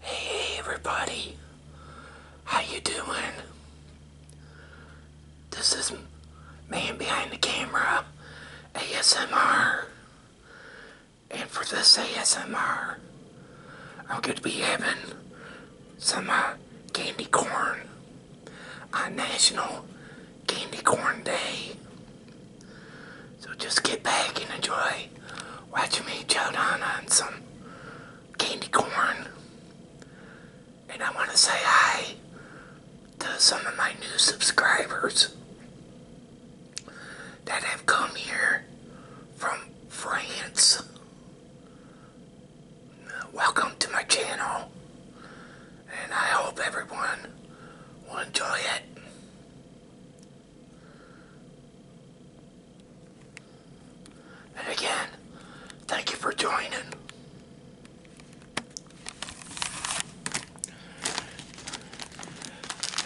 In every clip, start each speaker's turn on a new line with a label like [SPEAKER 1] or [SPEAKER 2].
[SPEAKER 1] Hey everybody, how you doing? This is Man Behind the Camera ASMR, and for this ASMR, I'm going to be having some uh, candy corn on National Candy Corn Day. So just get back and enjoy watching me chow down on some candy corn. And I want to say hi to some of my new subscribers that have come here from France. Welcome to my channel and I hope everyone will enjoy it. And again, thank you for joining.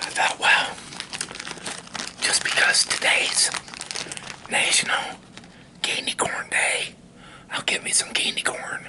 [SPEAKER 1] I thought, well, just because today's National Candy Corn Day, I'll get me some candy corn.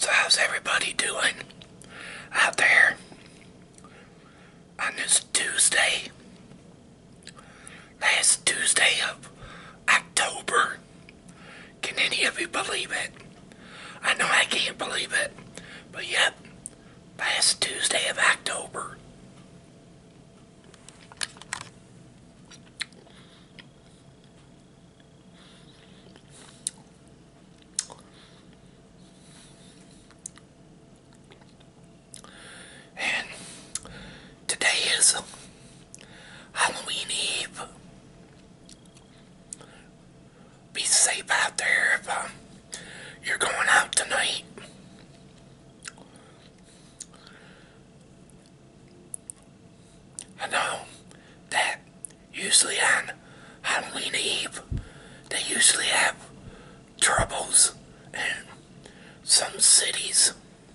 [SPEAKER 1] So how's everybody doing out there on this Tuesday? last Tuesday of October. Can any of you believe it? I know I can't believe it, but yep, last Tuesday of October. And today is Halloween Eve. Be safe out there if um, you're going out tonight. I know that usually on Halloween Eve, they usually have troubles in some cities.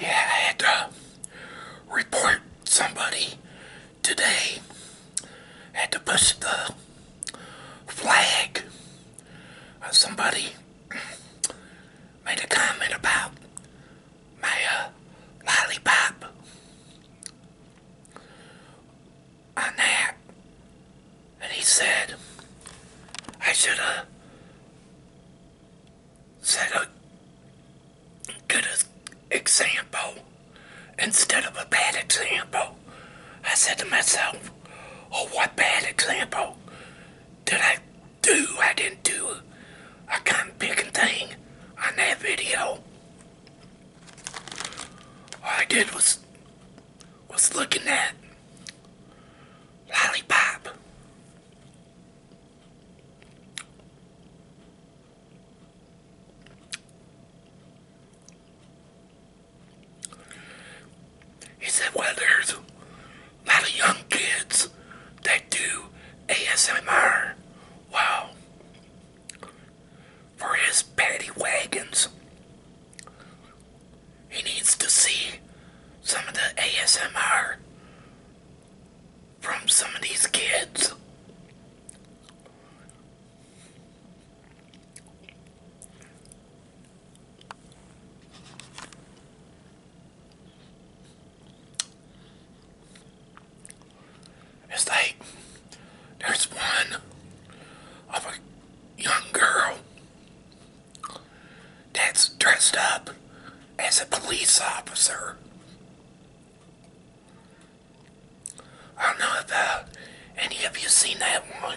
[SPEAKER 1] Yeah, had to report somebody today. had to push the flag of somebody made a comment about my uh, lollipop on that, and he said I should have uh, set a good example instead of a bad example. I said to myself, Oh, what bad example did I do? I didn't do a gun picking thing on that video. All I did was was looking at lollipop. He said, well, there's a lot of young kids that do ASMR. Wow. For his paddy wagons, he needs to see some of the ASMR from some of these kids. It's like there's one of a young girl that's dressed up as a police officer. I don't know if any of you seen that one.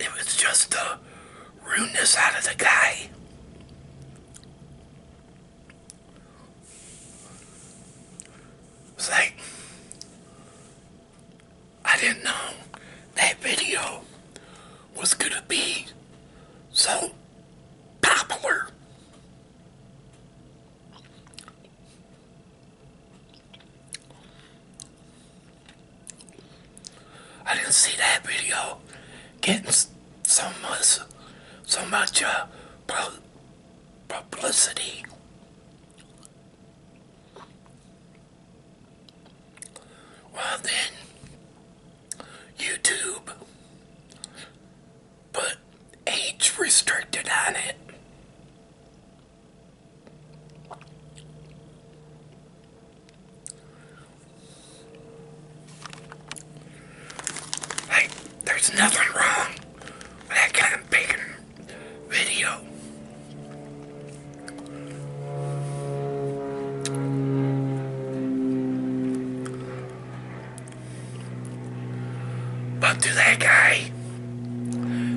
[SPEAKER 1] It, was just the rudeness out of the guy. It's like, I didn't know that video was going to be so popular. I didn't see that video getting so much, so much uh, publicity. Well, then, YouTube put age restricted on it. Hey, there's nothing wrong that kind of video. But to that guy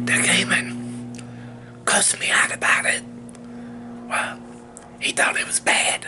[SPEAKER 1] that came and cussed me out about it, well, he thought it was bad.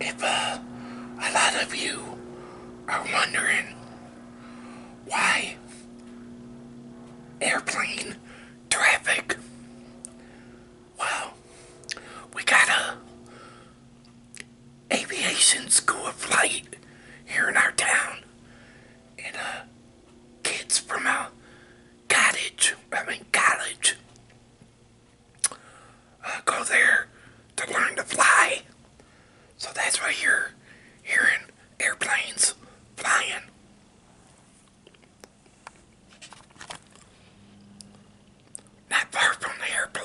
[SPEAKER 1] If uh, a lot of you are wondering why? Airplane traffic. Well, we got a aviation school of flight here in our town. And uh, kids from our cottage, I mean college, uh, go there to learn to fly. So that's why you're hearing airplanes flying. Not far from the airport.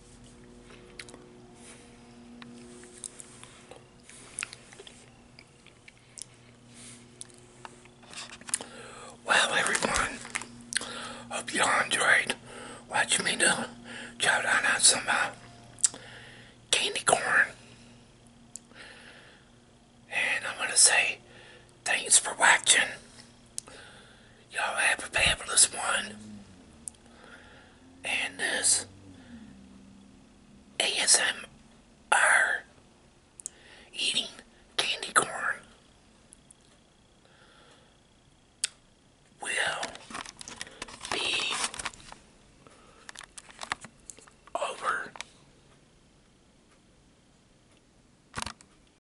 [SPEAKER 1] Well, everyone, hope you enjoyed watching me do chow down on some uh, candy corn. And I'm going to say Thanks for watching. Y'all have a fabulous one. And this ASM ASMR eating candy corn will be over.